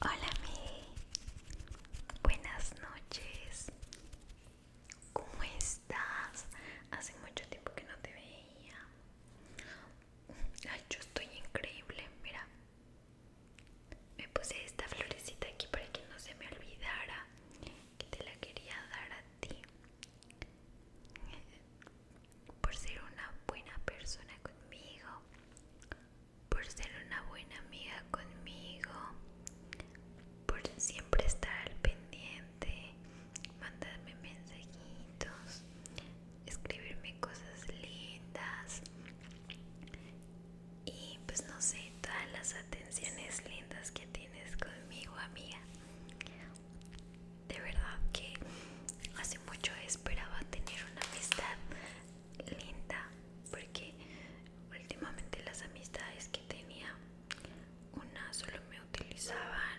Hola, mi. Buenas noches. ¿Cómo estás? Hace mucho tiempo que no te veía. yo estoy increíble, mira. Me puse esta florecita aquí para que no se me olvidara que te la quería dar a ti por ser una buena persona conmigo, por ser una buena amiga conmigo, por siempre estar al pendiente, mandarme mensajitos, escribirme cosas lindas y pues no sé, todas las atenciones lindas que tienes conmigo, amiga de verdad que hace mucho esperaba tener una amistad linda porque últimamente las amistades que tenía una solo me utilizaban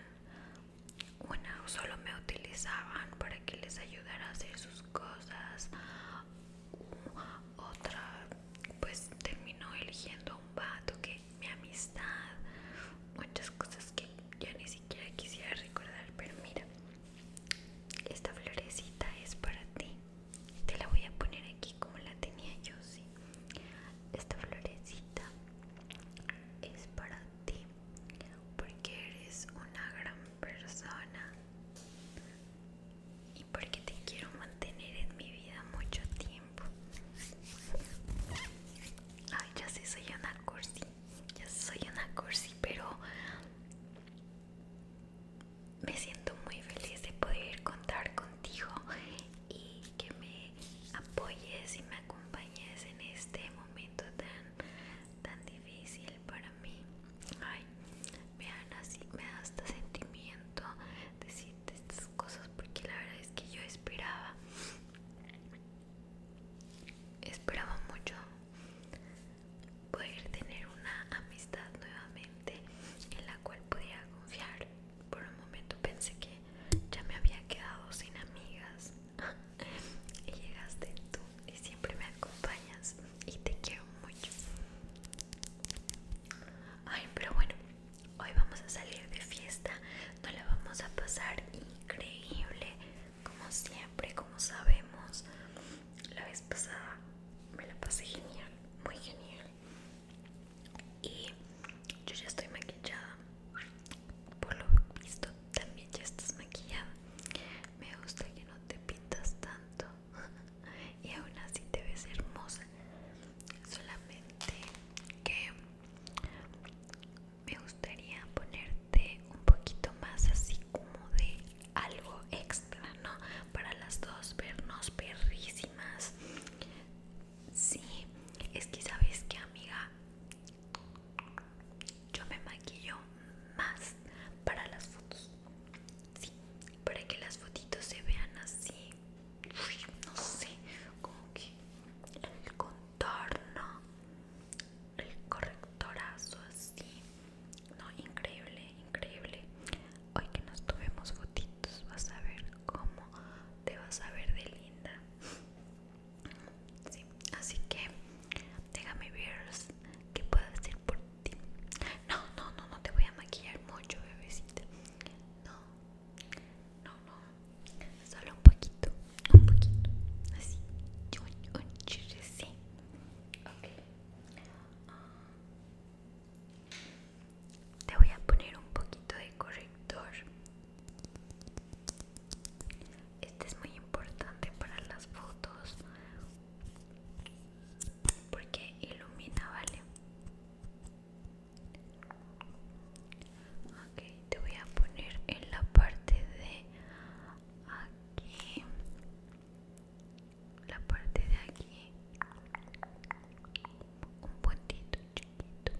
una solo me utilizaban para que les ayudara a hacer sus cosas otra pues terminó eligiendo a un vato que mi amistad muchas cosas que ya ni siquiera quisiera recordar pero mira esta florecita es para ti te la voy a poner aquí como la tenía yo sí esta florecita es para ti porque eres una gran persona y porque te quiero mantener en mi vida mucho tiempo ay ya sé soy una cursi ya soy una cursi, pero me siento muy feliz de poder contar contigo y que me apoyes y me acompañes en este momento tan, tan difícil para mí. Ay, me, así, me da hasta sentimiento decirte estas cosas porque la verdad es que yo esperaba Esperaba mucho poder tener una amistad nuevamente en la cual podía confiar. Por un momento pensé que ya me había quedado sin amigas. y llegaste tú y siempre me acompañas y te quiero mucho. Ay, pero bueno, hoy vamos a salir de fiesta. No la vamos a pasar increíble como siempre, como sabemos, la vez pasada me la pasé genial, muy genial. Y yo ya estoy maquillada. Por lo visto, también ya estás maquillada. Me gusta que no te pintas tanto y aún así te ves hermosa. Solamente que me gustaría ponerte un poquito más así como de algo extra, ¿no? Para las dos vernos perrísimas. Sí, es que sabes que amiga, yo me maquillo más para las fotos. Sí, para que las fotitos se vean así. no sé, como que el contorno el correctorazo así no increíble increíble hoy que nos tuvimos fotitos vas a ver cómo te vas a ver de linda así que déjame ver qué puedo hacer por ti no no no no te voy a maquillar mucho bebecita no no no solo un poquito, un poquito, así, un, un sí. Okay. Ah, te voy a poner un poquito de corrector. Este es muy importante para las fotos porque ilumina, ¿vale? Ok, te voy a poner en la parte de aquí la parte de aquí un puntito chiquito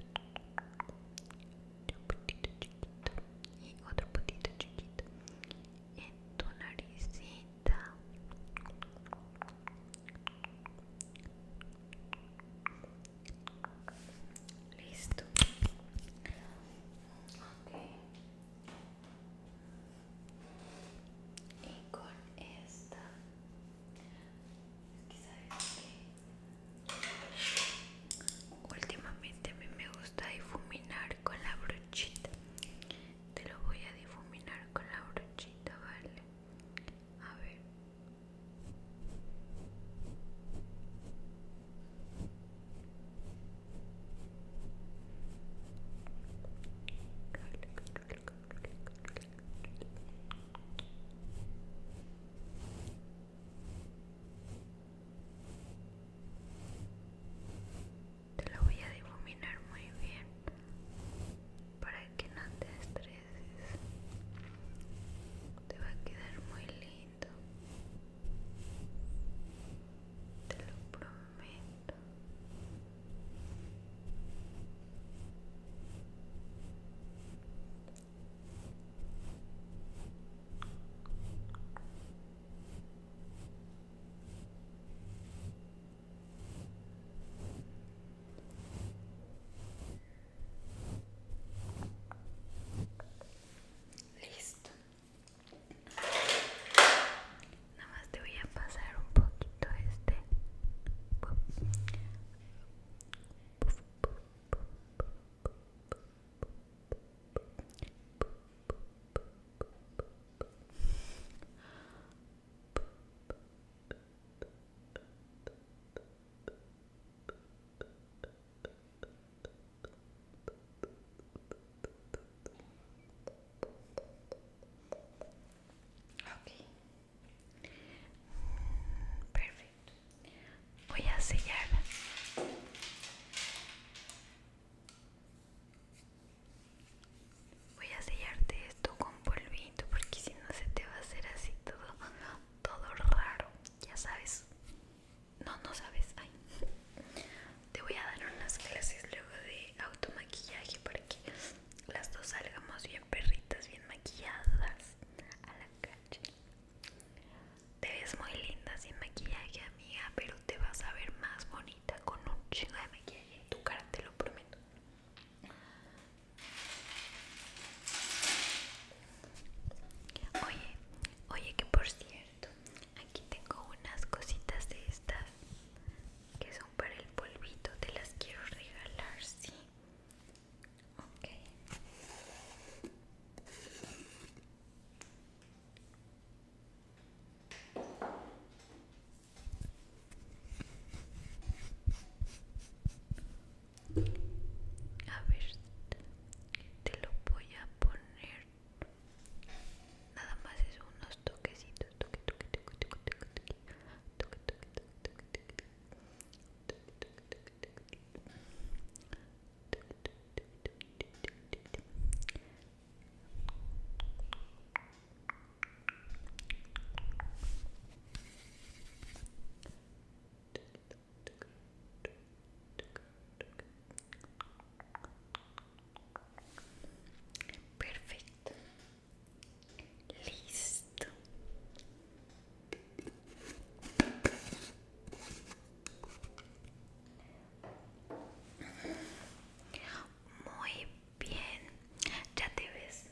un puntito chiquito y otro puntito chiquito en tu naricita Listo. Y con esta, últimamente a mí me gusta difuminar con la brochita. Te lo voy a difuminar con la brochita, ¿vale? A ver. Te lo voy a difuminar muy bien para que no te estreses. Te va a quedar muy lindo. Te lo prometo. Listo. Nada más te voy a pasar un poquito este. Ok. Perfecto. Voy a sellar Voy a sellarte esto con polvito porque si no se te va a hacer así todo, todo raro, ya sabes no, no sabes, ay te voy a dar unas clases luego de automaquillaje para que las dos salgamos bien perritas, bien maquilladas a la calle te ves muy linda sin maquillaje amiga, pero te vas a ver más bonita con un chingo de maquillaje en tu cara, te lo prometo Oye, oye que por cierto, aquí tengo unas cositas de estas que son para el polvito, te las quiero regalar, sí. Ok. A ver, te lo voy a poner nada más es unos toquecitos toque toque toque toque toque toque toque toque toque toque toque toque toque toque Perfecto. Listo. Muy bien. Ya te ves.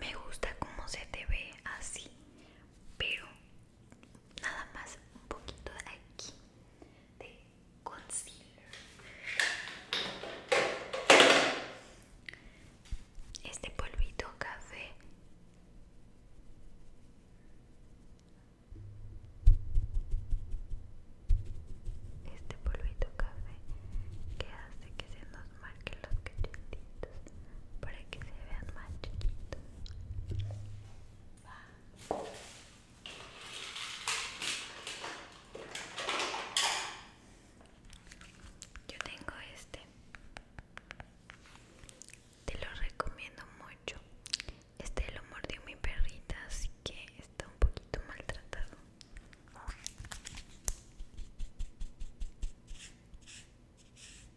Me gusta cómo se te ve así, pero nada más un poquito de aquí de concealer este polvito café este polvito café que hace que se nos marquen los cachetitos para que se vean más chiquitos yo tengo este. Te lo recomiendo mucho. Este lo mordió mi perrita, así que está un poquito maltratado.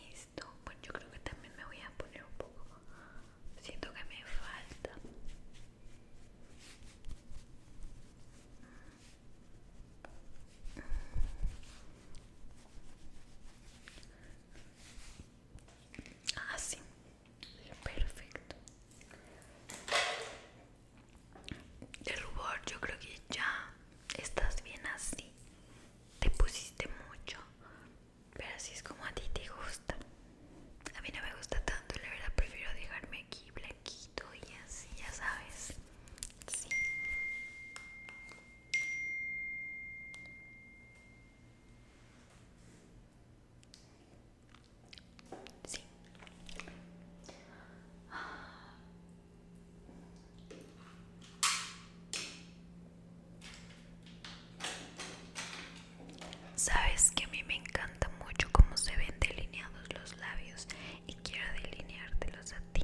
Listo, pues yo creo que también me voy a né, poner un poco. Siento que me falta. Ah, sim, perfeito. el rubor yo creo que ya estás bien así te pusiste mucho pero así es como a ti te gusta a mí no me gusta tanto la verdad prefiero dejarme aquí blanquito y así ya sabes sí Sí. Sabes que a mí me encanta mucho cómo se ven delineados los labios y quiero delineártelos a ti,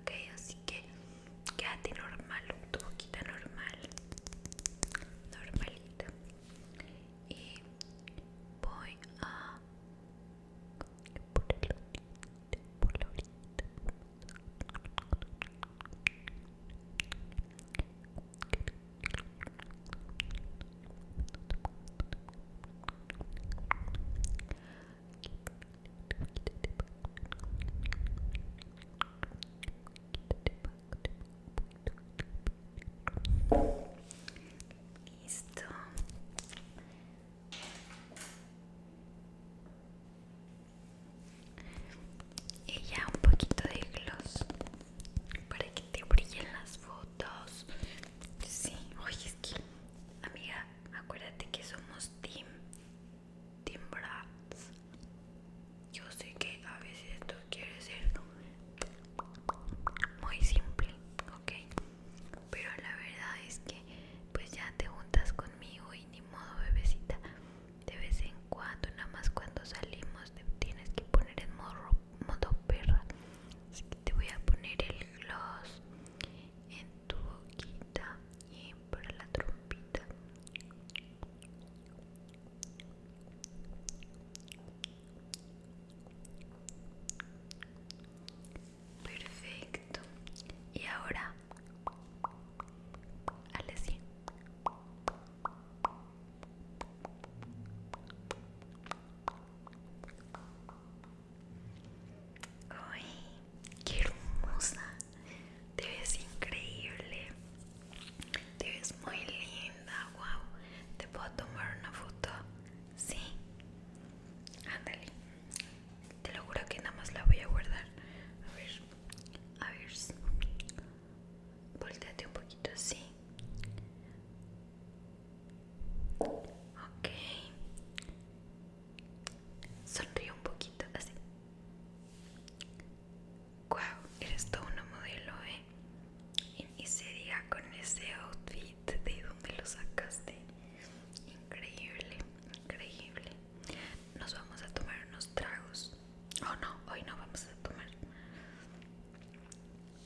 ok, así que quédate normal, tu boquita normal, normalita y voy a el Listo. Y ya un poquito de gloss para que te brillen las fotos. Sí, oye, es que, amiga, acuérdate que somos team, team brats. Yo sé que a veces tú quieres ser muy simple, ok pero la verdad es que pues ya te juntas conmigo y ni modo bebecita de vez en cuando nada más cuando salimos te tienes que poner en modo, modo perra así que te voy a poner el gloss en tu boquita y para la trompita Perfecto. Y ahora, Alessia. ¡Ay! ¡Qué hermosa! Te ves increíble. Te ves muy linda. ¡Wow! ¿Te puedo tomar una foto? Sí. Ándale. Te lo juro que nada más la voy a guardar. A ver, a ver. Volteate un poquito así. Ok. Sonríe un poquito así. Wow, eres todo una modelo, ¿eh? Y, sería diga con ese outfit de dónde lo sacaste. Increíble, increíble. Nos vamos a tomar unos tragos. Oh no, hoy no vamos a tomar.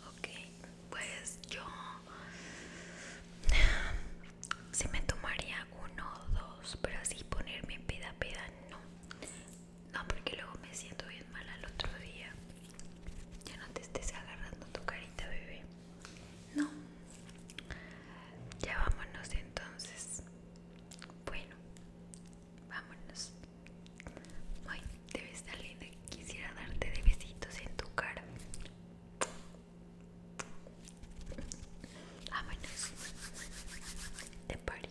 Ok, pues yo si me tomaría uno o dos, pero así ponerme peda peda no. No, porque luego me siento bien mal al otro día. Ya no te estés agarrando tu carita, bebé. No. Ya vámonos entonces. Bueno, vámonos. Ay, tan linda que quisiera darte de besitos en tu cara. Vámonos. De party.